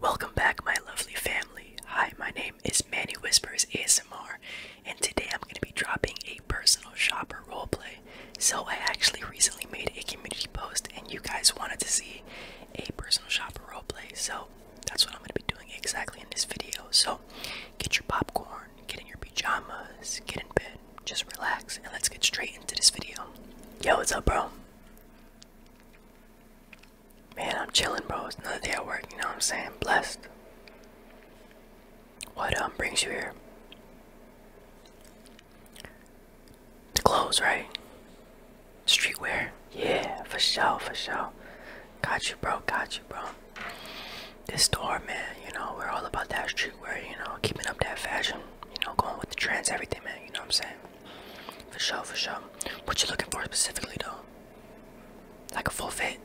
Welcome back, my lovely family. Hi, my name is Manny Whispers ASMR, and today I'm going to be dropping a personal shopper roleplay. So, I actually recently made a community post, and you guys wanted to see a personal shopper roleplay. So, that's what I'm going to be doing exactly in this video. So, get your popcorn, get in your pajamas, get in bed, just relax, and let's get straight into this video. Yo, what's up, bro? Man, I'm chilling, bro. It's another day at work, you know what I'm saying? Blessed. What um brings you here? The clothes, right? Streetwear. Yeah, for sure, for sure. Got you, bro. Got you, bro. This store, man, you know, we're all about that streetwear, you know, keeping up that fashion, you know, going with the trends, everything, man, you know what I'm saying? For sure, for sure. What you looking for specifically though? Like a full fit?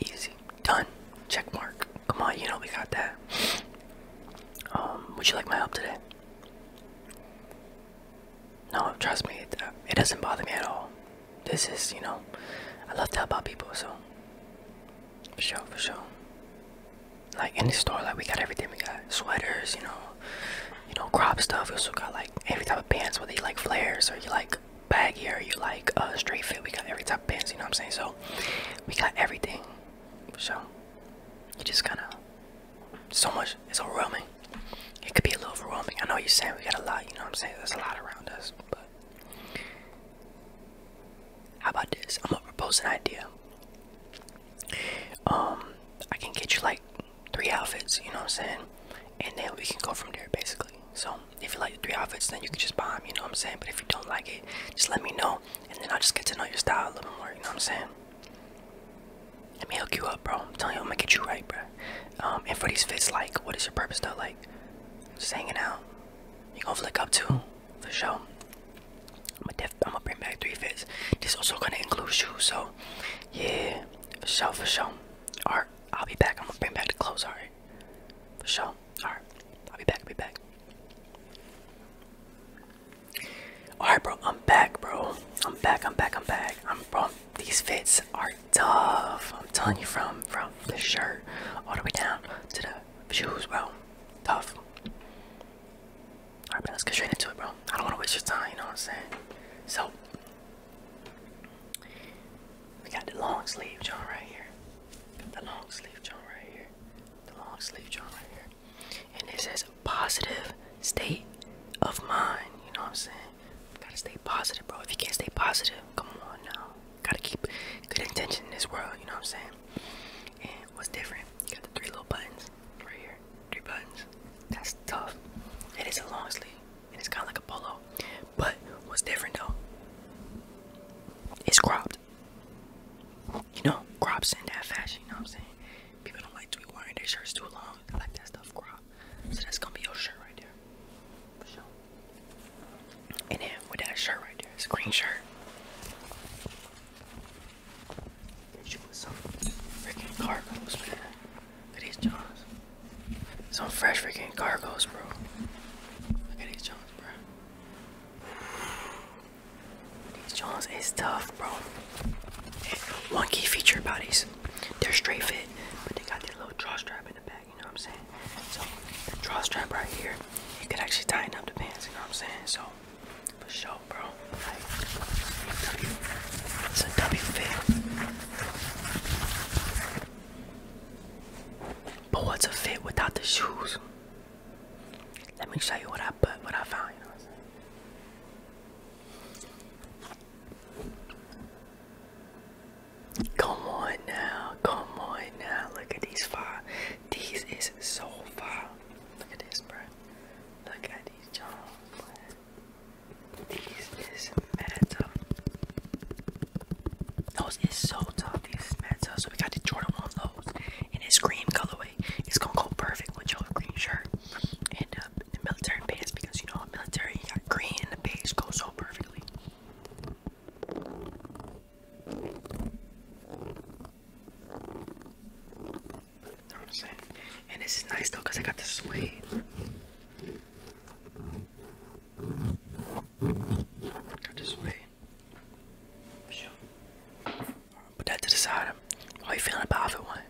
Easy. Done. Check mark. Come on, you know we got that. Um, would you like my help today? No, trust me, it, uh, it doesn't bother me at all. This is, you know, I love to help out people, so. For sure, for sure like in the store like we got everything we got sweaters you know you know crop stuff we also got like every type of pants whether you like flares or you like baggy or you like uh, straight fit we got every type of pants you know what i'm saying so we got everything so you just kind of so much it's overwhelming it could be a little overwhelming i know you're saying we got a lot you know what i'm saying there's a lot around us but how about this i'm gonna propose an idea um i can get you like three outfits you know what i'm saying and then we can go from there basically so if you like the three outfits then you can just buy them you know what i'm saying but if you don't like it just let me know and then i'll just get to know your style a little more you know what i'm saying let me hook you up bro Tell you i'm gonna get you right bro um and for these fits like what is your purpose though like just hanging out you gonna flick up too for sure I'm gonna, I'm gonna bring back three fits. This also gonna include shoes, so yeah, for sure, for sure. Alright, I'll be back. I'm gonna bring back the clothes, alright? For sure. Alright, I'll be back, I'll be back. Alright, bro, I'm back, bro. I'm back, I'm back, I'm back. I'm bro. These fits are tough. I'm telling you, from from the shirt all the way down to the shoes, bro. Tough. Alright, man, let's get straight into it, bro. I don't want to waste your time, you know what I'm saying? So, we got the long sleeve John right here. Got the long sleeve John right here. The long sleeve John right here. And it says positive state of mind, you know what I'm saying? Gotta stay positive, bro. If you can't stay positive, come on now. Gotta keep good intention in this world, you know what I'm saying? And what's different? You got the three little buttons right here. Three buttons. That's tough. It is a long sleeve and it's kind of like a polo. But what's different though? It's cropped. You know, crops in that fashion, you know what I'm saying? People don't like to be wearing their shirts too long. I like that stuff cropped. So that's gonna be your shirt right there. For sure. And then with that shirt right there, it's a green shirt. She was some freaking cargoes, man. Look at these Johns. Some fresh freaking cargoes, bro. Look at these Johns, bro. These Johns is tough, bro. And one key feature about these, they're straight fit, but they got their little draw strap in the back you know what I'm saying? So draw strap right here. You could actually tighten up the pants, you know what I'm saying? So for sure, bro. it's a W fit. But what's a fit without the shoes? Let me show you what I put, what I found, Come on now, come on now. Look at these five. These is so far. Look at this, bro. Look at these jobs. These is mad tough. Those is so tough. These is mad tough. So we got the Jordan 1 lows in this green colorway. It's gonna go perfect with your green shirt and uh, the military pants because you know military you got green and the base goes so perfectly know what I'm saying? And this is nice though because I got the suede. Got the suede. Put that to the side. How you feeling about it one?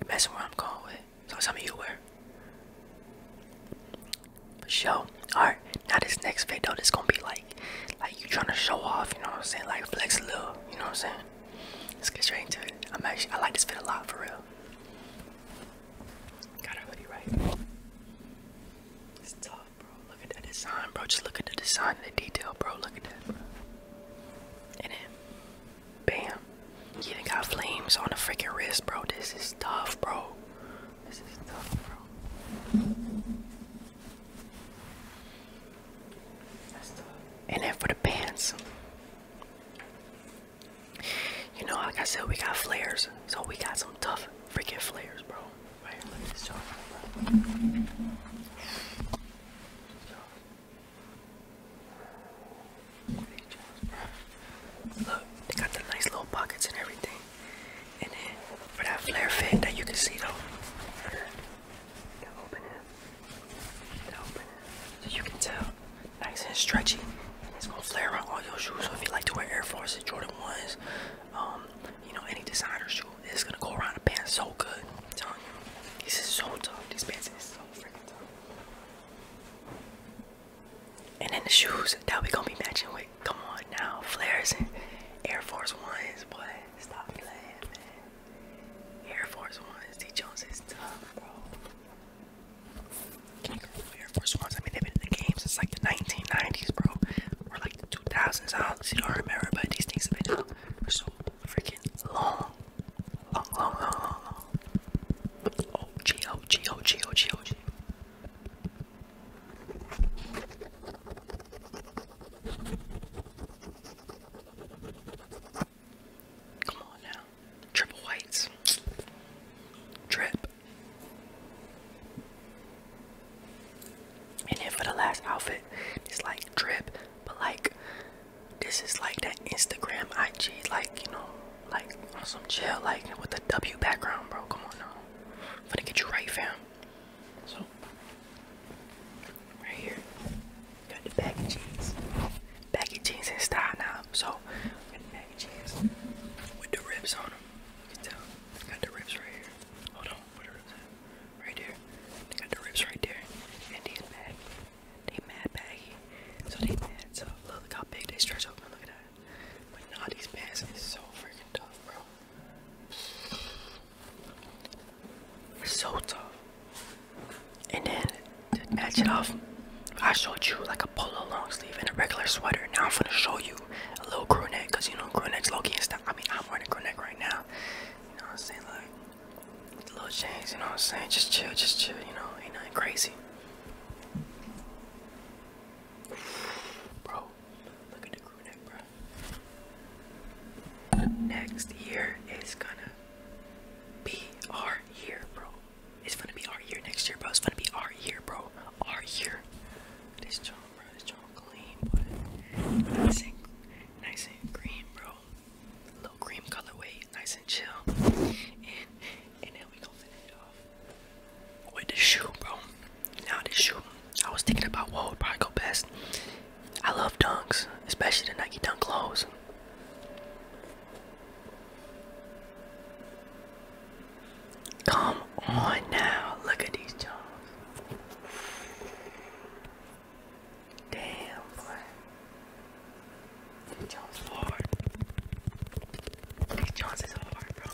You messing where I'm going with. So some of you wear show alright now this next video this gonna be like like you trying to show off you know what i'm saying like flex a little you know what i'm saying let's get straight into it i'm actually i like this fit a lot for real got our hoodie right it's tough bro look at that design bro just look at the design the detail bro look at that and then bam you even got flames on the freaking wrist, bro. This is tough, bro. This is tough, bro. And then for the pants. You know, like I said, we got flares. So we got some tough freaking flares, bro. Look, they got the nice little pockets and everything. And then for that flare fit that you can see though. you can tell. Nice and stretchy. It's gonna flare on all your shoes. So if you like to wear Air Force and Jordan 1s, um, you know, any designer shoe, it's gonna go around the pants so good. I'm telling you. This is so tough. These pants is so freaking tough. And then the shoes that we gonna be matching with. Come on now, flares and Air Force Ones, boy. Stop playing, Air Force Ones, D Jones is tough, bro. Can you go Air Force Ones? I mean, they've been in the game since like the 1990s, bro, or like the 2000s. I honestly don't remember, but these things have been out for so freaking long. Long, long, long, long, long. OG, OG, OG, OG, OG. Come on now. Triple whites. Trip. And then for the last outfit, it's like drip, but like this is like that Instagram IG, like, you know, like on some chill, like with the W background, bro. Come on now. I'm gonna get you right, fam. So, right here, got the baggy jeans. Baggy jeans in style now. So, got the baggy jeans with the ribs on them. You can tell. Got the ribs right here. Hold on, where the Right there. They got the ribs right there. And he's back. They mad baggy. So they mad. So look how big they stretch over. Look at that. But not these pants is so freaking tough, bro. It's so tough. And then to match it off, I showed you like a polo long sleeve and a regular sweater. Now I'm gonna show you a little crew neck, cause you know crew necks low and stuff. I mean, I'm wearing a crew neck right now. You know what I'm saying? Like little change, you know what I'm saying? Just chill, just chill, you know, ain't nothing crazy. Bro, look at the crew neck, bro. Next year is gonna be our year, bro. It's gonna be our year next year, bro. It's gonna be our year, bro. Our year. This joint, bro. This joint clean, but nice and nice and green, bro. Little cream colorway nice and chill. And then we gonna finish off with the shoe, bro. Now this shoe, I was thinking about what would probably go best. I love dunks, especially the Nike Dunk Lows. Come on now, look at these Jones. Damn, boy. Nick Jones hard. Nick Jones is hard, bro.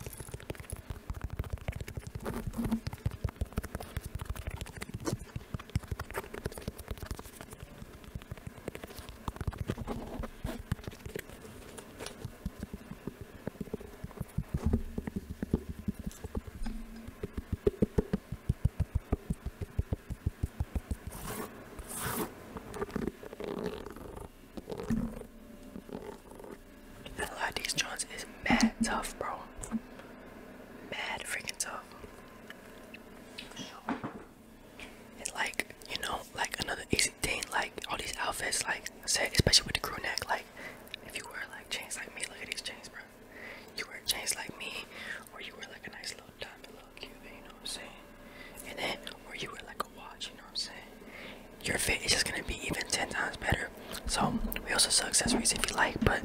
And a lot of these joints is mad tough, bro. Mad freaking tough. It's like, you know, like another easy thing, like all these outfits, like I said, especially with the crew neck, like if you wear like chains like me, look at these chains, bro you wear chains like me, or you wear like a nice little diamond little Cuban, you know what I'm saying? And then, or you wear like a watch, you know what I'm saying? Your fit is just gonna be even 10 times better. So, we also sell accessories if you like, but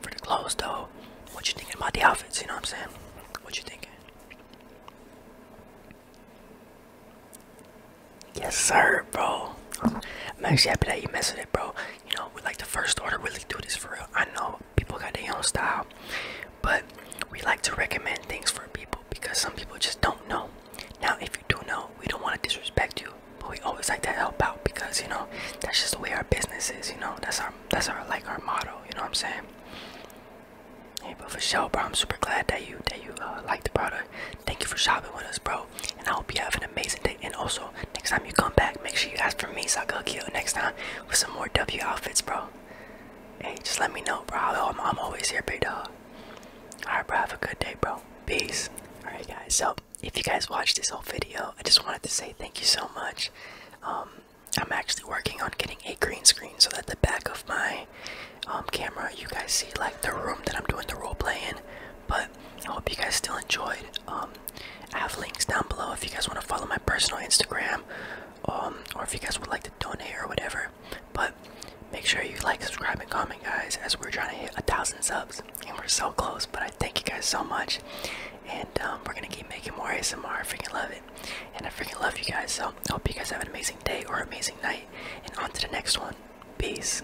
for the clothes though, what you thinking about the outfits, you know what I'm saying? What you thinking? Yes, sir, bro. I'm actually happy that you messed with it, bro you know we like the first order really do this for real i know people got their own style but we like to recommend things for people because some people just don't know now if you do know we don't want to disrespect you but we always like to help out because you know that's just the way our business is you know that's our that's our like our motto you know what i'm saying Hey, but for sure, bro, I'm super glad that you that you uh, like the product. Thank you for shopping with us, bro. And I hope you have an amazing day. And also, next time you come back, make sure you ask for me so I can kill you next time with some more W outfits, bro. Hey, just let me know, bro. I'm, I'm always here, big dog. Alright, bro. Have a good day, bro. Peace. Alright, guys. So, if you guys watched this whole video, I just wanted to say thank you so much. Um, I'm actually working on getting a green screen so that the back of my um, camera, you guys see like the room that I'm doing the role play in. But I hope you guys still enjoyed. Um, I have links down below if you guys want to follow my personal Instagram, um, or if you guys would like to donate or whatever. But make sure you like, subscribe, and comment, guys, as we're trying to hit a thousand subs, and we're so close. But I thank you guys so much, and um, we're gonna keep making more ASMR. I freaking love it, and I freaking love you guys. So hope you guys have an amazing day or amazing night, and on to the next one. Peace.